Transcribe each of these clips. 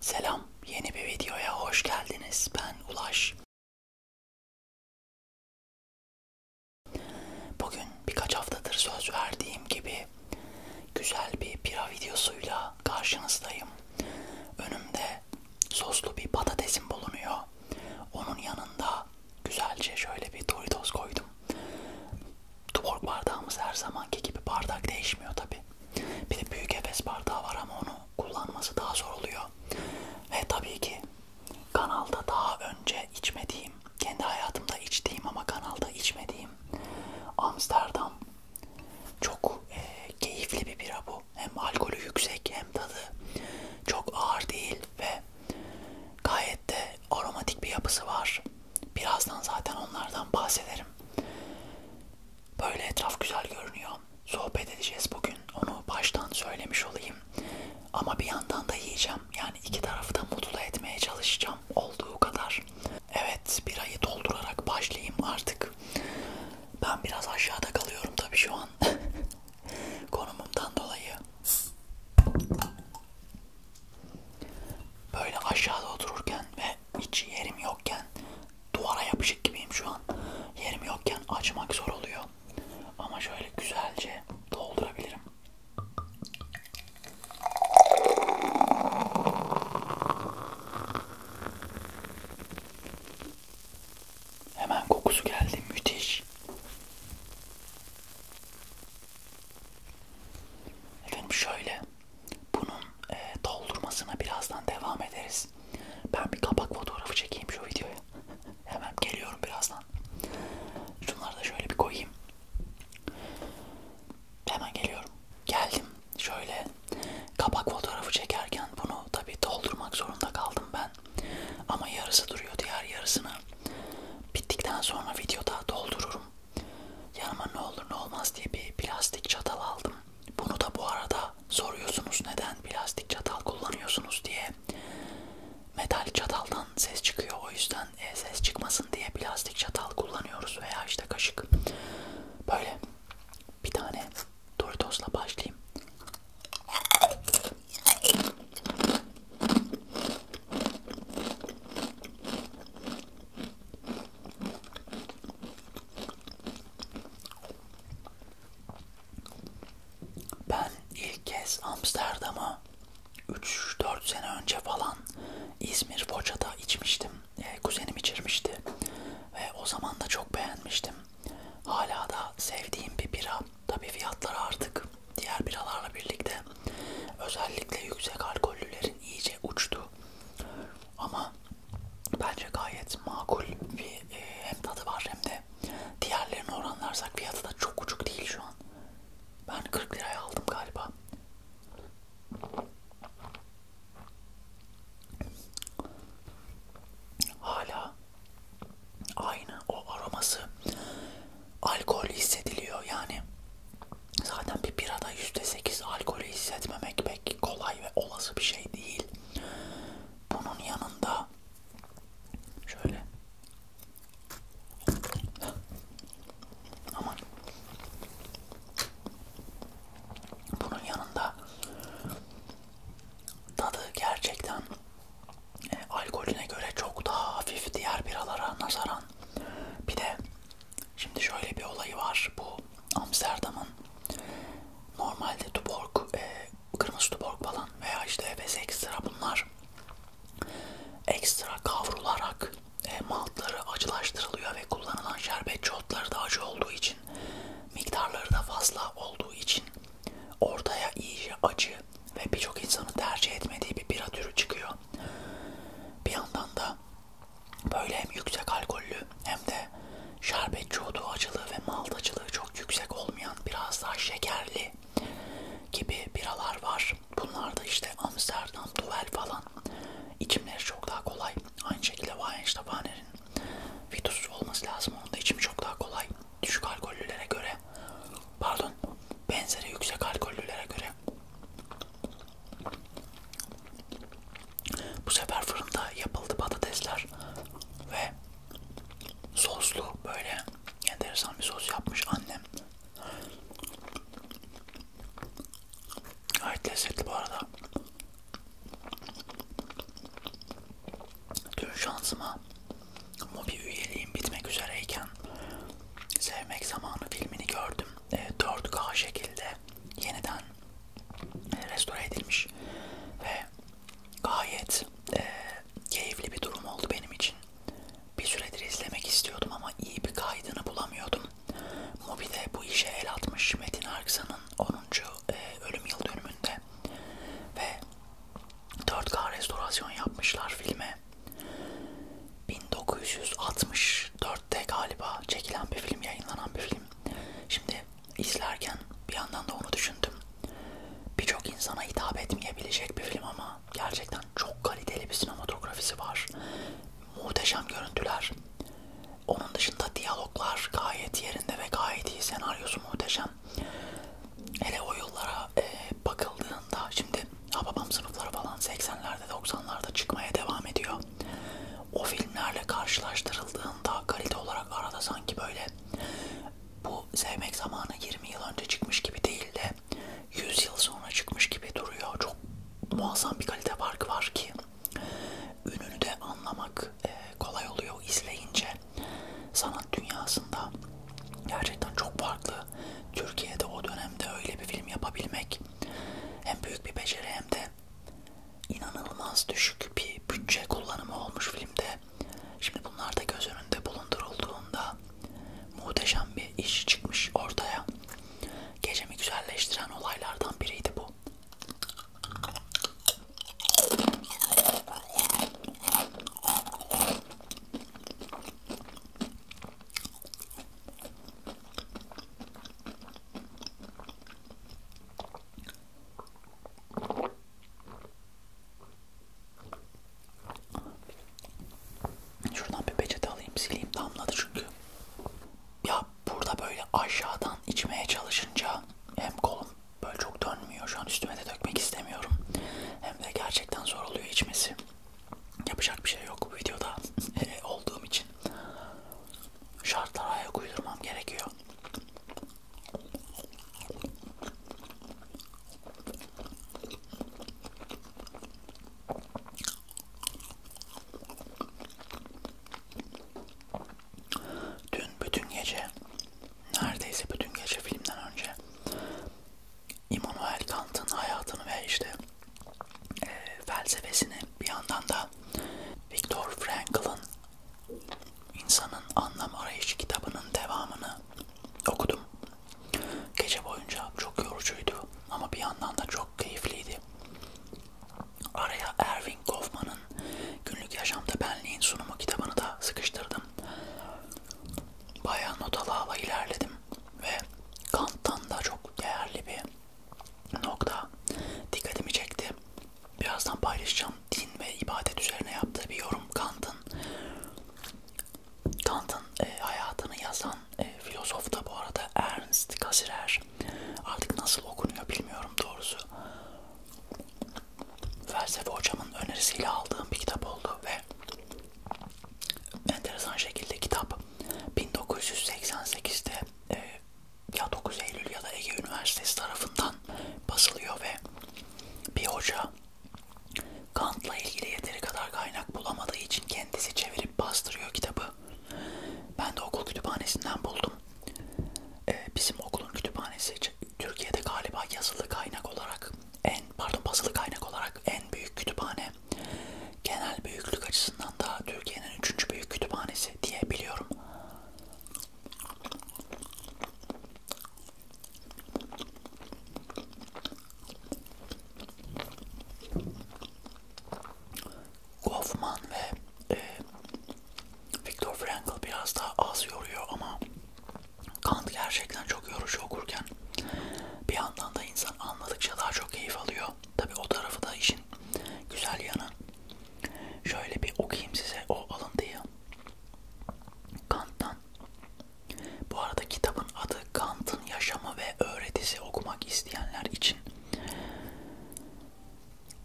Selam, yeni bir videoya hoş geldiniz. Ben Ulaş. Bugün birkaç haftadır söz verdiğim gibi güzel bir pira videosuyla karşınızdayım. Önümde soslu bir patatesim bulunuyor. Onun yanında güzelce şöyle bir Doritos koydum. Tuborg bardağımız her zamanki gibi bardak değişmiyor tabi. Bir de büyük Efes bardağı var ama onu kullanması daha zor oluyor. Ve tabii ki kanalda daha önce içmediğim, kendi hayatımda içtiğim ama kanalda içmediğim Amsterdam çok e, keyifli bir bira bu. Hem alkolü yüksek hem tadı çok ağır değil ve gayet de aromatik bir yapısı var. Birazdan zaten onlardan bahsederim. Böyle etraf güzel görünüyor. Sohbet edeceğiz bugün. Onu baştan söylemiş olayım. Ama bir yandan da yiyeceğim. Yani iki tarafı da mutlu etmeye çalışacağım olduğu kadar. Evet bir ayı doldurarak başlayayım artık. Ben biraz aşağıda kalıyorum tabii şu an. Konumumdan dolayı. Böyle aşağıda otururken ve hiç yerim yokken duvara yapışık gibiyim şu an. Yerim yokken açmak zor oluyor. Ama şöyle güzelce doldurabilirim. Hemen kokusu geldi. Müthiş. Efendim şöyle bunun e, doldurmasına birazdan devam ederiz. Ben bir kapak fotoğrafı çekeyim şu videoya. Hemen geliyorum birazdan. Şunları da şöyle bir koyayım. Hemen geliyorum. Geldim. Şöyle kapak fotoğrafı çekerken bunu tabi doldurmak zorunda kaldım ben. Ama yarısı duruyor. Diğer yarısını bittikten sonra videoda doldururum. Yanıma ne olur ne olmaz diye bir plastik çatal aldım. Bunu da bu arada soruyorsunuz neden plastik çatal kullanıyorsunuz diye. Metal çataldan ses çıkıyor o yüzden e, ses çıkmasın diye plastik çatal kullanıyoruz veya işte kaşık. Böyle bir tane Doritos'la başlayayım. Ben ilk kez Amsterdam'a 3-4 sene önce falan İzmir Foça'da içmiştim. E, kuzenim içirmişti. Ve o zaman da çok beğenmiştim. Hala da sevdiğim bir bira. Tabii fiyatları artık diğer biralarla birlikte özellikle yüksek alkollülerin iyice uçtu. Ama bence gayet makul bir e, hem tadı var hem de diğerlerine oranlarsak fiyatı da çok uçuk değil şu an. Ben 40 liraya aldım galiba. Hala aynı o aroması alkol hissediliyor yani Zaten bir birada %8 alkolü hissetmemek pek kolay ve olası bir şey değil. Bunun yanında şöyle aman bunun yanında tadı gerçekten e, alkolüne göre çok daha hafif diğer biralara nazaran. Bir de şimdi şöyle bir olayı var bu Amsterdam'ın normalde Tuborg, e, kırmızı Tuborg falan veya işte Efes ekstra bunlar ekstra kavrularak e, maltları acılaştırılıyor ve kullanılan şerbetçi otları da acı olduğu için miktarları da fazla olduğu için ortaya iyice acı ve birçok insanın tercih etmediği bir bira türü çıkıyor. Bir yandan da Böyle hem yüksek alkollü hem de şerbetçi odu acılığı ve maldacılığı çok yüksek olmayan biraz daha şekerli gibi biralar var. Bunlar da işte Amsterdam, Duvel falan. İçimleri çok daha kolay. Aynı şekilde Weinstephaner'in Vitus olması lazım. Onun da içimi çok daha kolay. Düşük alkollülere göre pardon benzeri yüksek alkollülere göre bu sefer fırında yapıldı patatesler ve soslu böyle enteresan bir sos yapmış annem. Gayet lezzetli bu arada. Dün şansıma Mobi üyeliğim bitmek üzereyken Sevmek Zamanı filmini gördüm. E, 4K şekilde yeniden e, restore edilmiş ve gayet e, keyifli bir durum oldu benim için. Bir süredir izlemek istiyordum ama iyi bir kaydını bulamıyordum. Mubi'de bu işe el atmış Metin Arksan'ın 10. E, ölüm yıl dönümünde ve 4K restorasyon yapmışlar filme. 1964 2004'te galiba çekilen bir film, yayınlanan bir film. Şimdi izlerken bir yandan da onu düşündüm. Birçok insana hitap etmeyebilecek bir film ama gerçekten çok kaliteli bir sinematografisi var. Muhteşem görüntüler. Onun dışında diyaloglar gayet yerinde ve gayet iyi. Senaryosu muhteşem. Hele o yıllara e, bakıldığında şimdi ha babam sınıfları falan 80'lerde 90'larda çıkmaya devam ediyor. O filmlerle karşılaştırıldığında kalite olarak arada sanki böyle bu sevmek zamanı 20 yıl önce çıkmış gibi değil de 100 yıl sonra çıkmış gibi duruyor. Çok muazzam bir kalite farkı var ki ününü de anlamak e, kolay oluyor izleyince. Sanat dünyasında gerçekten çok farklı. Türkiye'de o dönemde öyle bir film yapabilmek hem büyük bir beceri hem de inanılmaz düşük bir bütçe kullanımı olmuş filmde. Şimdi bunlar da göz önünde bulundurulduğunda muhteşem bir iş çıkmış ortaya. Gecemi güzelleştiren olaylardan biriydi bu. Şuradan bir peçete alayım sileyim damladı çünkü. Ya burada böyle aşağıdan içmeye çalışınca hem kolum böyle çok dönmüyor şu an üstüme de dökmek istemiyorum. Hem de gerçekten zor oluyor içmesi yapacak bir şey yok bu videoda e, olduğum için şartlara ayak uydurmam gerekiyor. Dün bütün gece neredeyse bütün gece filmden önce Immanuel Kant'ın hayatını ve işte e, felsefesini bir yandan da Viktor Frankl'ın insanın anlam arayışı kitabının devamını okudum. Gece boyunca çok yorucuydu ama bir yandan da çok keyifliydi. Araya Erving Goffman'ın Günlük Yaşamda Benliğin Sunumu kitabını da sıkıştırdım. Bayağı not ala ala ilerledim ve Kant'tan da çok değerli bir nokta dikkatimi çekti. Birazdan paylaşacağım. Din ve ibadet üzerine yaptığı bir yorum Kant'ın. Kant'ın e, hayatını yazan e, filozof da bu arada Ernst Cassirer. Artık nasıl okunuyor bilmiyorum doğrusu. Felsefe hocamın önerisiyle aldığım bir kitap oldu ve enteresan şekilde kitap 1988'de e, ya 9 Eylül ya da Ege Üniversitesi tarafından basılıyor ve bir hoca Kant'la ilgili yeteri kadar kaynak bulamadığı için kendisi çevirip bastırıyor kitabı. Ben de okul kütüphanesinden buldum. Ee, bizim okulun kütüphanesi Türkiye'de galiba yazılı kaynak olarak en pardon basılı kaynak olarak en büyük kütüphane genel büyüklük açısından da Türkiye'nin üçüncü büyük kütüphanesi diye biliyorum. Goffman ve e, Viktor Frankl biraz daha az yoruyor ama Kant gerçekten çok yorucu okurken bir yandan da aslında insan anladıkça daha çok keyif alıyor. Tabi o tarafı da işin güzel yanı. Şöyle bir okuyayım size o alıntıyı. Kant'tan. Bu arada kitabın adı Kant'ın Yaşamı ve Öğretisi okumak isteyenler için.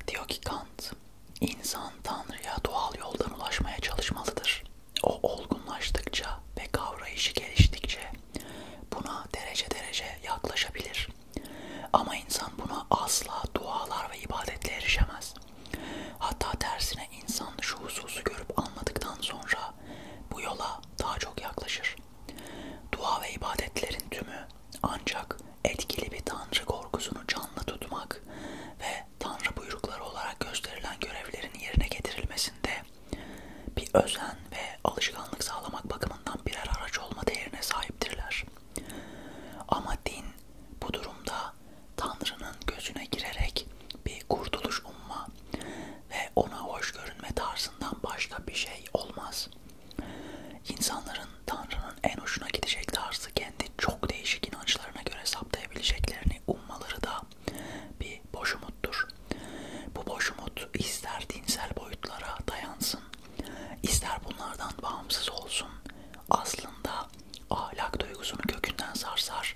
Diyor ki Kant, insan Tanrı'ya doğal yoldan ulaşmaya çalışmalıdır. O olgunlaştıkça ve kavrayışı geliştikçe Buna derece derece yaklaşabilir. Ama insan buna asla dualar ve ibadetle erişemez. Hatta tersine insan şu hususu görüp anladıktan sonra bu yola daha çok yaklaşır. Dua ve ibadetlerin tümü ancak etkili bir tanrı korkusunu canlı tutmak ve tanrı buyrukları olarak gösterilen görevlerin yerine getirilmesinde bir özen ve alışkanlık sağlamak bakımından birer araç olma değerine sahiptirler. Ama din bu durumda Tanrı'nın gözüne girerek bir kurtuluş umma ve ona hoş görünme tarzından başka bir şey olmaz. İnsanların Tanrı'nın en hoşuna gidecek tarzı kendi çok değişik inançlarına göre saptayabileceklerini ummaları da da bir boş umuttur. Bu boş umut ister dinsel boyutlara dayansın, ister bunlardan bağımsız olsun. Aslında ahlak duygusunu kökünden sarsar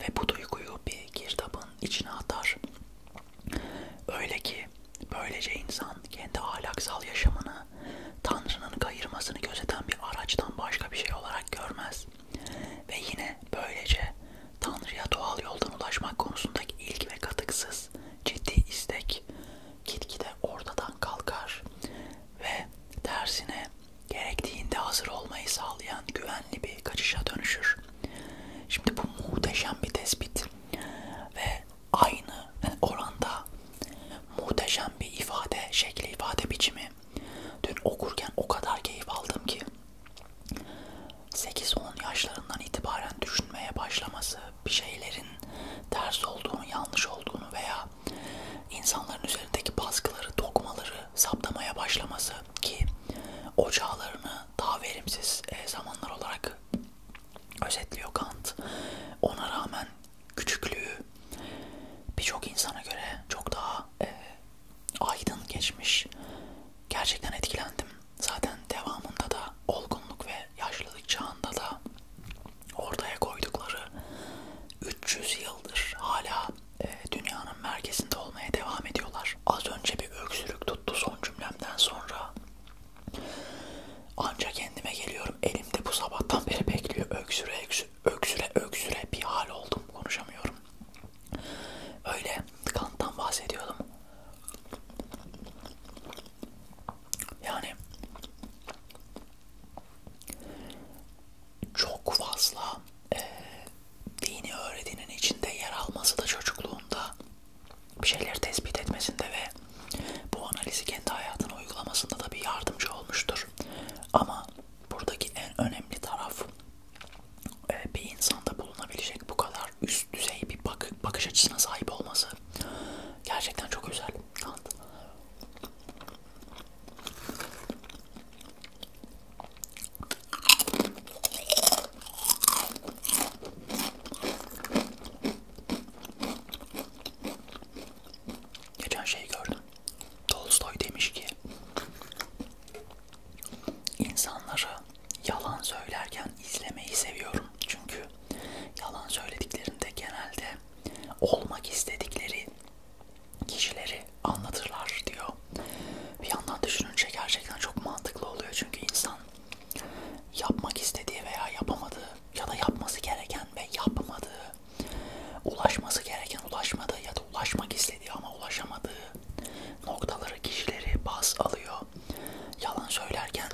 ve bu duyguyu bir girdabın içine atar. Öyle ki böylece insan kendi ahlaksal yaşamını Tanrı'nın kayırmasını gözeten bir araçtan başka bir şey olarak görmez. Ve yine böylece Tanrı'ya doğal yoldan ulaşmak konusundaki ilgi ve katıksız ciddi istek gitgide ortadan kalkar ve tersine gerektiğinde hazır olmayı sağlayan güvenli bir kaçışa dönüşür. Şimdi bu muhteşem bir tespit ve aynı oranda muhteşem bir ifade şekli ifade biçimi. Dün okurken o kadar keyif aldım ki 8-10 yaşlarından itibaren düşünmeye başlaması, bir şeylerin ters olduğunu, yanlış olduğunu veya insanların üzerindeki baskıları, dokmaları saptamaya başlaması ki o çağlarını daha verimsiz e, zamanlar olarak özetliyor Kant. Ona rağmen küçüklüğü birçok insana göre çok daha e, aydın geçmiş. Gerçekten etkilendim. Zaten devamında da olgunluk ve yaşlılık çağında da ortaya koydukları 300 yıldır hala e, dünyanın merkezinde olmaya devam ediyorlar. Az önce bir öksürük tuttu son cümlemden sonra. Ancak kendime geliyorum. Elimde bu sabahtan beri bekliyor. Öksüre öksüre öksüre, öksüre bir hal oldum. Konuşamıyorum. Öyle Kant'tan bahsediyordum. Yani çok fazla e, dini öğretinin içinde yer alması da çocukluğunda bir şeyleri tespit etmesinde ve bu analizi kendi hayatına uygulamasında da bir yardımcı olmuştur. Ama buradaki en önemli taraf ee, bir insanda bulunabilecek bu kadar üst düzey bir bakış açısına sahip olması gerçekten çok özel. Geçen şey gördüm. Tolstoy demiş ki İnsanları yalan söylerken izlemeyi seviyorum. Çünkü yalan söylediklerinde genelde olmak istedikleri kişileri anlatırlar diyor. Bir yandan düşününce gerçekten çok mantıklı oluyor. Çünkü insan yapmak istediği veya yapamadığı ya da yapması gereken ve yapmadığı, ulaşması gereken ulaşmadığı ya da ulaşmak istediği istediği ama ulaşamadığı noktaları, kişileri baz alıyor. Yalan söylerken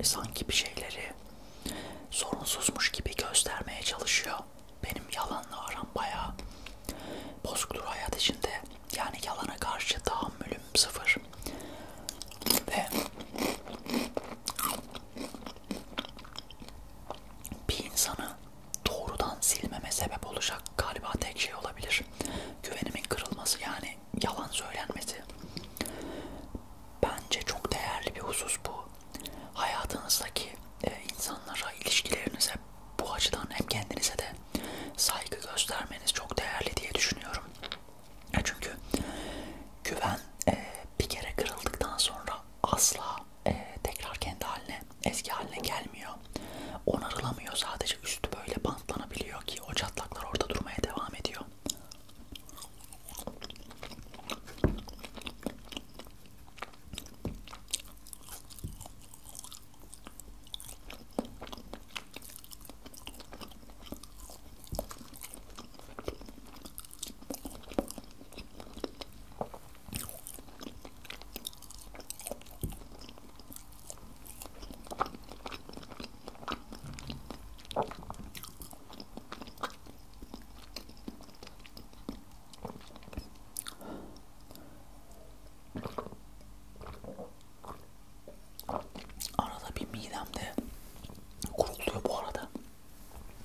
e, sanki bir şeyleri sorunsuzmuş gibi göstermeye çalışıyor. Benim yalanla aram bayağı bozuktur hayat içinde. Yani yalana karşı tahammülüm sıfır. Ve bir insanı doğrudan silmeme sebep olacak galiba tek şey olabilir. Güvenimin kırılması yani yalan söylenmesi. Bence çok değerli bir husus bu. Hayatınızdaki e, insanlara, ilişkilerinize bu açıdan hem kendinize de saygı göstermeniz çok değerli diye düşünüyorum. Çünkü güven e, bir kere kırıldıktan sonra asla e, tekrar kendi haline, eski haline gelmiyor. Onarılamıyor sadece üstü böyle bantlanabiliyor ki o çatlaklar orada durmaya devam ediyor. Arada bir midemde kuruluyor bu arada.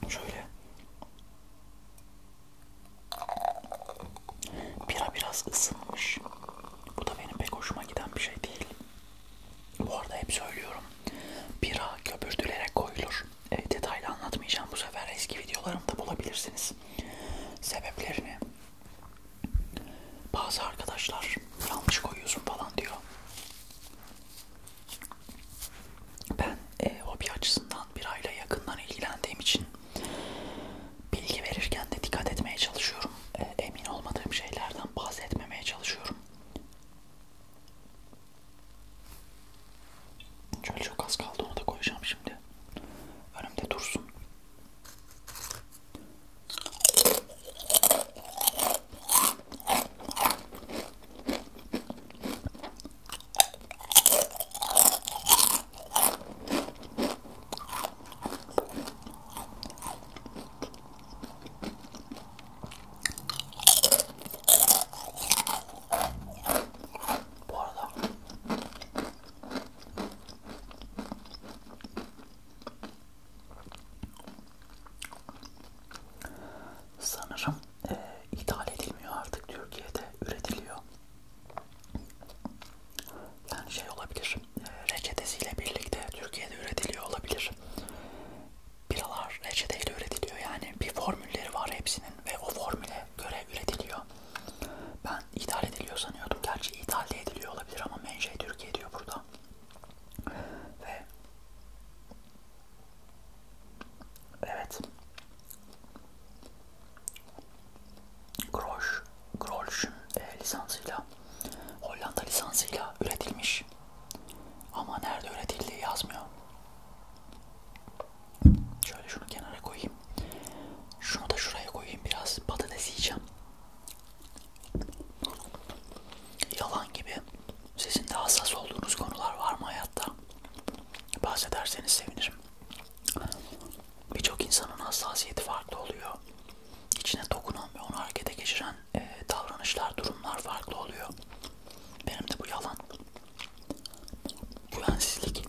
Şöyle. Bira biraz ısınmış. Bu da benim pek hoşuma giden bir şey değil. Bu arada hep söylüyorum. Bira köpürtülerek koyulur. E, detaylı anlatmayacağım bu sefer. Eski videolarımda bulabilirsiniz. Sebeplerini. Bazı arkadaşlar yanlış koyuyorsun falan diyor. Ben e, hobi açısından birayla yakından ilgilendiğim için bilgi verirken de dikkat etmeye çalışıyorum. E, emin olmadığım şeylerden bahsetmemeye çalışıyorum. Şöyle çok az kaldı onu da koyacağım şimdi. Önümde dursun. Bu arada sanırım e, ithal edilmiyor artık Türkiye'de üretiliyor. Yani şey olabilir, e, reçetesiyle birlikte Türkiye'de üretiliyor olabilir. Biralar reçeteyle üretiliyor yani bir formülleri var hepsinin ve o formüle göre üretiliyor. Ben ithal ediliyor sanıyordum. Gerçi ithal de ediliyor olabilir ama menşe Türkiye diyor burada. Ve Evet. Grosch, Grosch'un e, lisansıyla, Hollanda lisansıyla üretilmiş. Ama nerede üretildiği yazmıyor. Şöyle şunu kenara koyayım. Şunu da şuraya koyayım biraz. Patates yiyeceğim. Yalan gibi. Sizin de hassas olduğunuz konular var mı hayatta? Bahsederseniz sevinirim birçok insanın hassasiyeti farklı oluyor. İçine dokunan ve onu harekete geçiren e, davranışlar, durumlar farklı oluyor. Benim de bu yalan. Güvensizlik.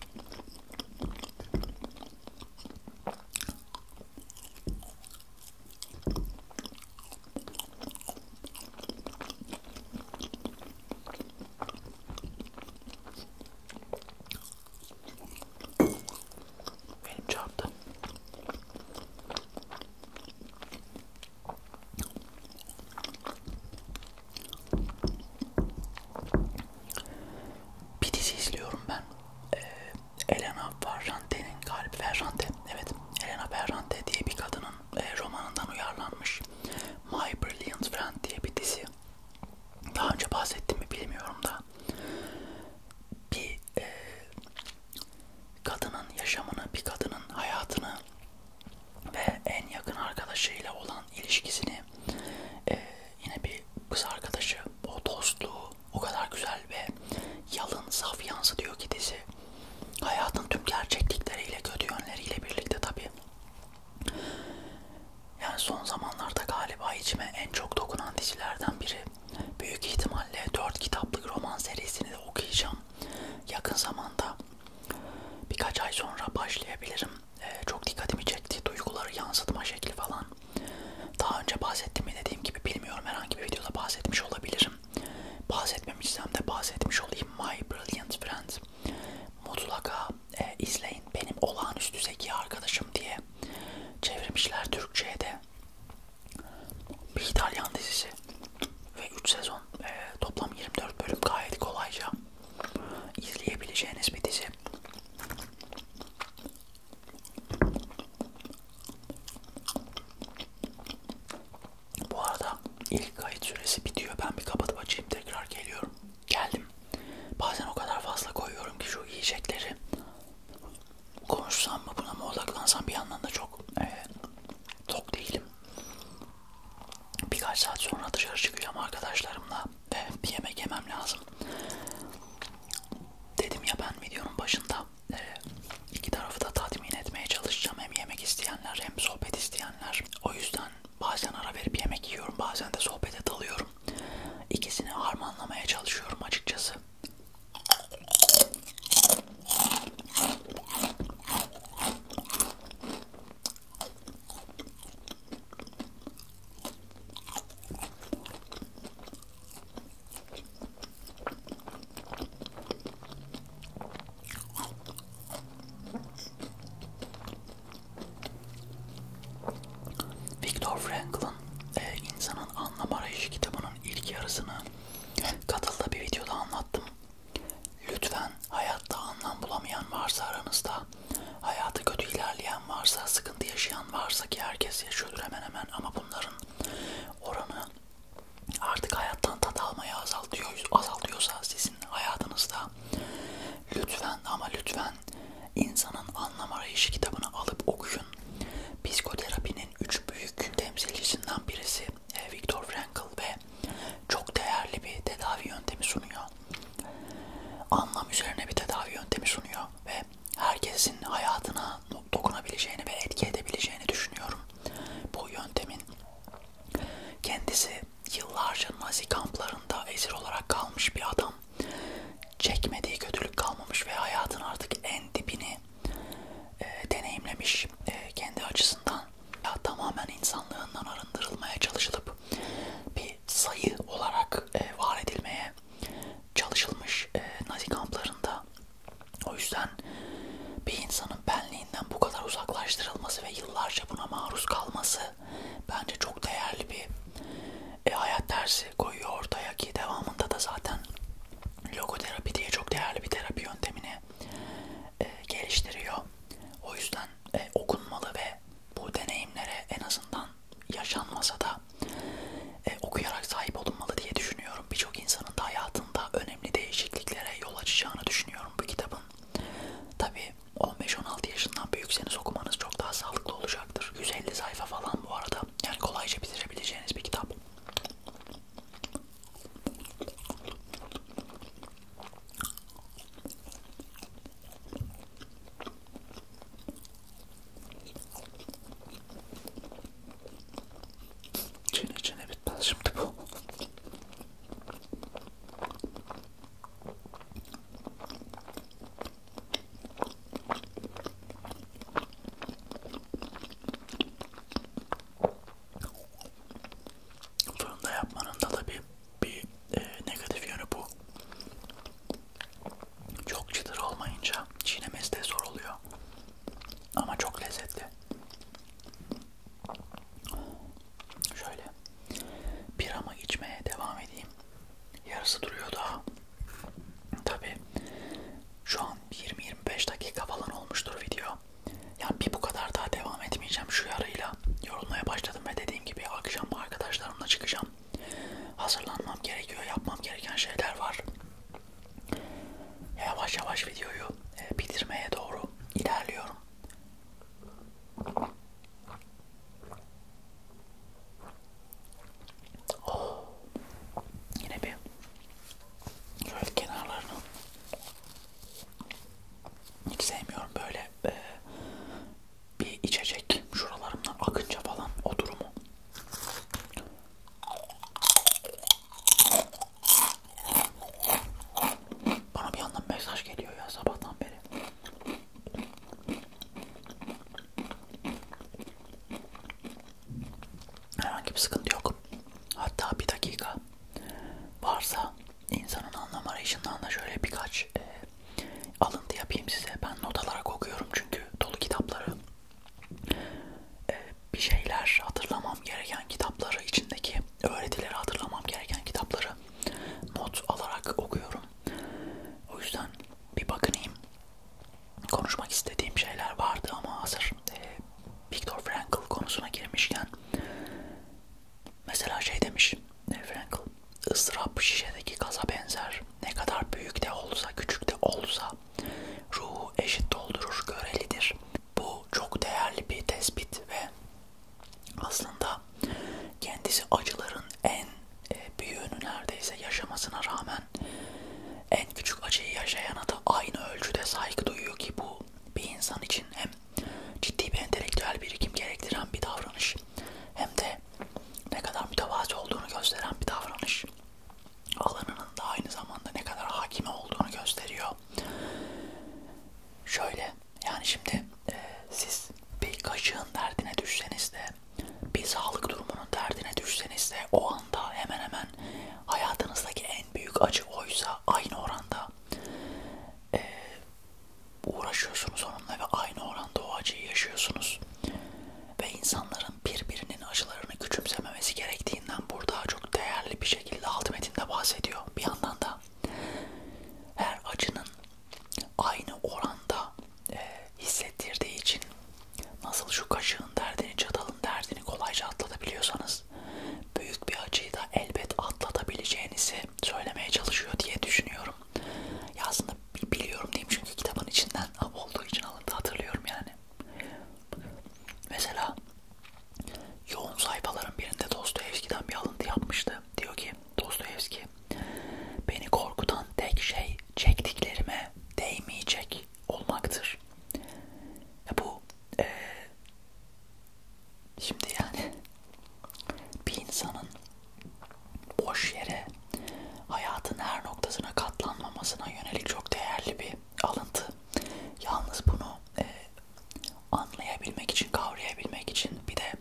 Benim çarptı. Bir dizi izliyorum ben. Ee, Elena Ferrante, galiba Ferrante, evet Elena Ferrante diye bir kadın Poe'nun e, romanından uyarlanmış My Brilliant Friend diye bir dizi. Daha önce bahsettim mi bilmiyorum da bir e, kadının yaşamını, bir kadının hayatını ve en yakın arkadaşıyla olan ilişkisini e, yine bir kız arkadaşı o dostluğu o kadar güzel ve yalın saf yansıtıyor ki dizi hayatın tüm gerçeklikleriyle kötü yönleriyle birlikte tabi yani son zamanlarda galiba içime en çok dokunan dizilerden biri. Büyük ihtimalle 4 kitaplık roman serisini de okuyacağım. Yakın zamanda birkaç ay sonra başlayabilirim. Ee, çok dikkatimi çekti. Duyguları yansıtma şekli falan. Daha önce bahsettim mi dediğim gibi bilmiyorum. Herhangi bir videoda bahsetmiş olabilirim. Bahsetmemişsem de bahsetmiş olayım. My Brilliant Friend. Mutlaka e, izleyin. Benim olağanüstü zeki arkadaşım diye çevirmişler Türkçe'ye de. Bir İtalyan dizisi ve 3 sezon e, toplam 24 bölüm gayet kolayca izleyebileceğiniz bir dizi. Bu arada ilk kayıt süresi bitiyor. Ben bir kapatıp açayım tekrar geliyorum. Geldim. Bazen o kadar fazla koyuyorum ki şu yiyecekleri konuşsam mı buna mı odaklansam bir yandan da çok e, tok değilim. Birkaç saat sonra dışarı çıkıyorum arkadaşlarımla ve bir yemek yemem lazım. Dedim ya ben videonun başında e, iki tarafı da tatmin etmeye çalışacağım. Hem yemek isteyenler hem sohbet isteyenler. O yüzden yüzden bazen ara verip yemek yiyorum, bazen de sohbete dalıyorum. İkisini harmanlamaya çalışıyorum açıkçası. Viktor Frankl'ın e, insanın anlam arayışı kitabının ilk yarısını katılda bir videoda anlattım. Lütfen hayatta anlam bulamayan varsa aranızda, hayatı kötü ilerleyen varsa, sıkıntı yaşayan varsa ki herkes yaşıyordur hemen hemen ama bunların oranı artık hayattan tat almayı azaltıyor, azaltıyorsa siz sizin hayatınızda lütfen ama lütfen insanın anlam arayışı kitabını alıp okuyun. Psikoterapinin üç büyük temsilcisinden birisi e, Viktor Frankl ve çok değerli bir tedavi yöntemi sunuyor. Anlam üzerine bir tedavi yöntemi sunuyor ve herkesin hayatına dokunabileceğini ve etki edebileceğini düşünüyorum. Bu yöntemin kendisi yıllarca Nazi kamplarında esir olarak kalmış bir adam çekmediği kötülük kalmamış ve hayatın artık en dibini e, deneyimlemiş e, kendi açısından ya tamamen insanlığından arındırılmaya çalışılıp bir sayı olarak e, var edilmeye çalışılmış e, Nazi kamplarında. O yüzden bir insanın benliği geleneğinden bu kadar uzaklaştırılması ve yıllarca buna maruz kalması bence çok değerli bir e, hayat dersi koyuyor ortaya ki devamında da zaten logoterapi diye çok değerli bir terapi yöntemini e, geliştiriyor. O yüzden e, okunmalı ve bu deneyimlere en azından yaşanmasa da e, okuyarak sahip olunmalı diye düşünüyorum. Birçok insanın da hayatında önemli değişikliklere yol açacağını düşünüyorum bu kitabın. Tabi 15-16 yaşından büyükseniz okumanız çok daha sağlıklı olacaktır. 150 sayfa falan bu arada. Yani kolayca bitirebileceğiniz bir kitap. Çin içine bitmez şimdi bu. Fırında yapmanın da tabii bir e, negatif yönü bu. Çok çıtır olmayınca çiğnemesi de zor oluyor. Ama çok lezzetli. Şöyle bir ama içmeye devam edeyim. Yarısı duruyor daha. Tabi şu an 20-25 dakika falan olmuştur video. Yani bir bu kadar daha devam etmeyeceğim şu yarıyla. Yorulmaya başladım ve dediğim gibi akşam arkadaşlarımla çıkacağım. Hazırlanmam gerekiyor, yapmam gereken şeyler var. Yavaş yavaş videoyu e, bitirmeye doğru ilerliyorum. Oh. Yine bir şöyle kenarlarını hiç sevmiyorum böyle e, bir içecek şuralarımdan akınca falan o durumu. Bana bir yandan mesaj geliyor ya sabahtan beri. Herhangi bir sıkıntı yok. Hatta bir dakika varsa insanın anlam arayışından da şöyle birkaç e, alıntı yapayım size. Ben not alarak okuyorum çünkü dolu kitapları. E, bir şeyler hatırlamam gereken kitapları içindeki öğretileri hatırlamam gereken kitapları not alarak okuyorum. O yüzden bir bakınayım. Konuşmak istediğim şeyler vardı ama hazır e, Viktor Frankl konusuna girmişken mesela şey demiş e, Frankl ıstırap şişedeki gaza benzer ne kadar büyük de olsa küçük de olsa ruhu eşit doldurur görelidir bu çok değerli bir tespit ve aslında kendisi acıların en e, büyüğünü neredeyse yaşamasına rağmen en küçük acıyı yaşayana da aynı ölçüde saygı duyuyor ki bu bir insan için hem ciddi bir entelektüel birikim gerektiren bir davranış hem de ne kadar mütevazi olduğunu gösteren bir davranış alanının da aynı zamanda ne kadar hakime olduğunu gösteriyor gerekiyor. Şöyle yani şimdi e, siz bir kaşığın derdine düşseniz de bir sağlık durumunun derdine düşseniz de o anda hemen hemen hayatınızdaki en büyük acı oysa aynı oranda e, uğraşıyorsunuz onunla ve aynı oranda o acıyı yaşıyorsunuz. Ve insanların birbirinin acılarını küçümsememesi gerektiğinden burada çok değerli bir şey şekilde alt metinde bahsediyor. Bir yandan da her acının aynı oranda e, hissettirdiği için nasıl şu kaşığın derdini, çatalın derdini kolayca atlatabiliyorsanız büyük bir acıyı da elbet atlatabileceğinizi söylemeye çalışıyor diye düşünüyorum. Ya aslında biliyorum diyeyim çünkü kitabın içinden olduğu için alındı hatırlıyorum yani. Mesela Yoğun sayfaların birinde Dostoyevski'den bir alıntı yapmıştı. Diyor ki Dostoyevski, beni korkutan tek şey çektiklerime değmeyecek olmaktır. Ya bu e, şimdi yani bir insanın boş yere hayatın her noktasına katlanmamasına yönelik çok değerli bir alıntı. Yalnız bunu e, anlayabilmek için, kavrayabilmek için bir de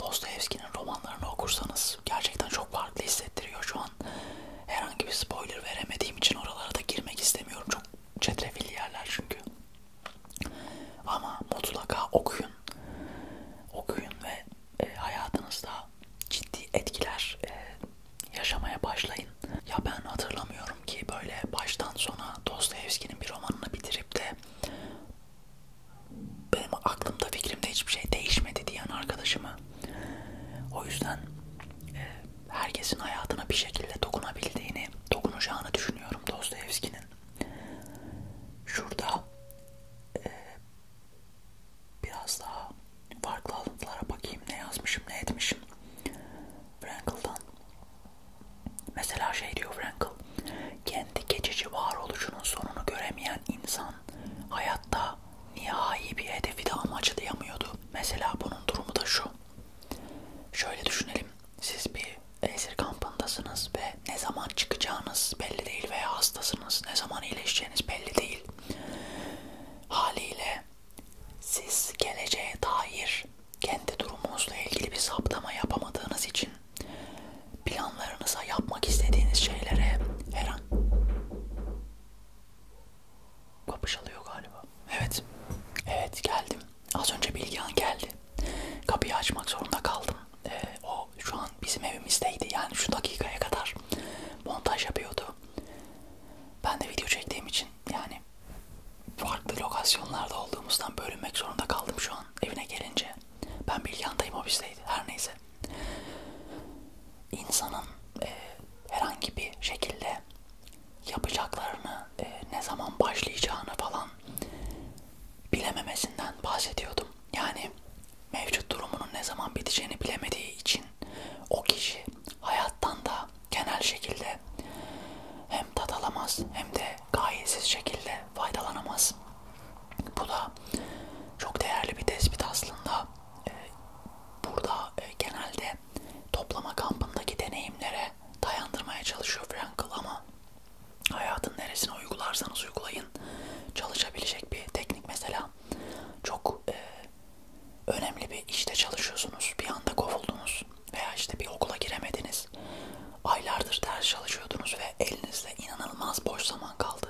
Dostoyevski'nin romanlarını okursanız gerçekten çok farklı hissettiriyor şu an. Herhangi bir spoiler veremediğim için oralara da girmek istemiyorum. Çok çetrefilli yerler çünkü. Ama mutlaka okuyun. Okuyun ve e, hayatınızda ciddi etkiler e, yaşamaya başlayın. Ya ben hatırlamıyorum ki böyle baştan sona Dostoyevski'nin bir romanını bitirip de benim aklımda fikrimde hiçbir şey değişmedi diyen arkadaşımı. O yüzden e, herkesin hayatına bir şekilde dokunabildiğini, dokunacağını düşünüyorum Dostoyevski'nin. Şurada e, biraz daha farklı alıntılara bakayım ne yazmışım ne etmişim. Frankl'dan. Mesela şey diyor Frankl, kendi geçici varoluşunun sonunu göremeyen insan hayatta nihai bir hedefi de amaçlayamıyordu. Mesela bunun durumu da şu. Şöyle düşünelim, siz bir esir kampındasınız ve ne zaman çıkacağınız belli değil veya hastasınız, ne zaman iyileşeceğiniz belli değil. Haliyle siz geleceğe dair kendi durumunuzla ilgili bir saptama yapamadığınız için planlarınıza yapmak istediğiniz şeylere her an kapış alıyor galiba. Evet. Evet geldim. Az önce Bilgehan geldi. Kapıyı açmak zorunda kaldım. Ee, o şu an bizim evimizdeydi. Yani şu dakikaya kadar montaj yapıyordu. Ben de video çektiğim için yani farklı lokasyonlarda olduğumuzdan bölünmek zorunda kaldım şu an evine gelince. Ben Bilgehan'dayım ofisteydi her neyse. İnsanın e, herhangi bir şekilde yapacaklarını, e, ne zaman başlayacağını falan bilememesinden bahsediyordum. Yani mevcut durumunun ne zaman biteceğini bilemediği için o kişi hayattan da genel şekilde hem tat alamaz hem de gayesiz şekilde faydalanamaz. Bu da çok değerli bir tespit aslında. Ee, burada e, genelde toplama kampındaki deneyimlere dayandırmaya çalışıyor Frankl ama hayatın neresine uygularsanız uygulayın çalışabilecek bir teknik mesela. Çok e, önemli bir işte çalışıyorsunuz, bir anda kovuldunuz veya işte bir okula giremediniz. Aylardır ders çalışıyordunuz ve elinizde inanılmaz boş zaman kaldı.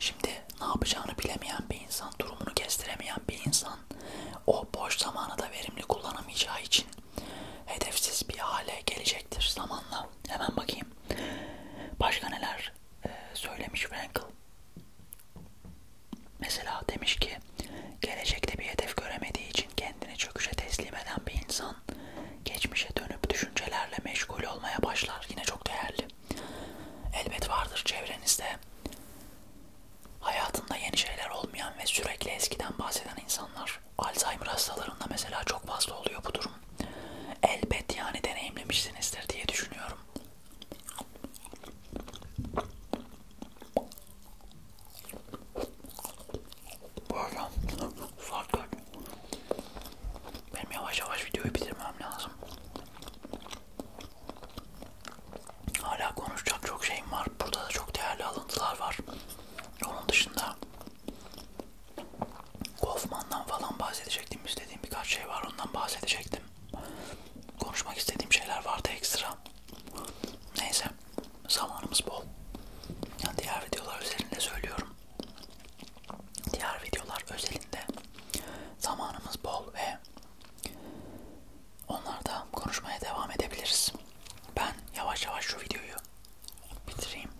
Şimdi ne yapacağını bilemeyen bir insan, durumunu kestiremeyen bir insan o boş zamanı da verimli kullanamayacağı için hedefsiz bir hale gelecektir zamanla. Hemen bakayım. Başka neler ee, söylemiş Frankl? Mesela demiş ki gelecekte bir hedef göremediği için kendini çöküşe teslim eden bir insan geçmişe dönüp düşüncelerle meşgul olmaya başlar. Yine çok değerli. Elbet vardır çevrenizde hayatında yeni şeyler olmayan ve sürekli eskiden bahseden insanlar. Alzheimer hastalarında mesela çok fazla oluyor bu durum. Elbet yani deneyimlemişsinizdir diye düşünüyorum. Bu arada saat kaç? Benim yavaş yavaş videoyu bitirmem lazım. Hala konuşacak çok şeyim var. Burada da çok değerli alıntılar var. Onun dışında Kaufman'dan falan bahsedecektim. İstediğim birkaç şey var ondan bahsedecektim istedim. Konuşmak istediğim şeyler vardı ekstra. Neyse zamanımız bol. Yani diğer videolar özelinde söylüyorum. Diğer videolar özelinde zamanımız bol ve onlarda konuşmaya devam edebiliriz. Ben yavaş yavaş şu videoyu bitireyim.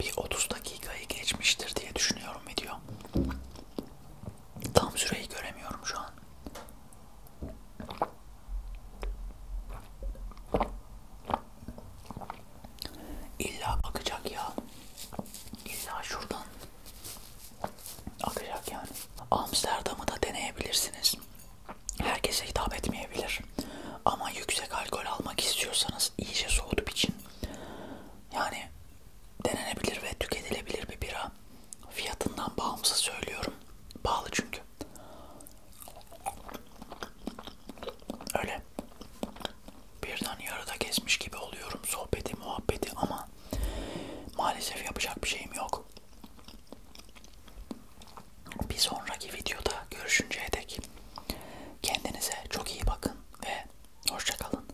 Bir 30 dakikayı geçmiştir diye düşünüyorum video. Tam süreyi göremiyorum şu an. İlla akacak ya. İlla şuradan akacak yani. Amsterdam'ı da deneyebilirsiniz. Herkese hitap etmeyebilir. Ama yüksek alkol almak istiyorsanız iyice soğutup için yani denenebilir ve tüketilebilir bir bira arada fiyatından bağımsız söylüyorum. Pahalı çünkü. Öyle. Birden yarıda kesmiş gibi oluyorum sohbeti muhabbeti ama maalesef yapacak bir şeyim yok. Bir sonraki videoda görüşünceye dek kendinize çok iyi bakın ve hoşçakalın.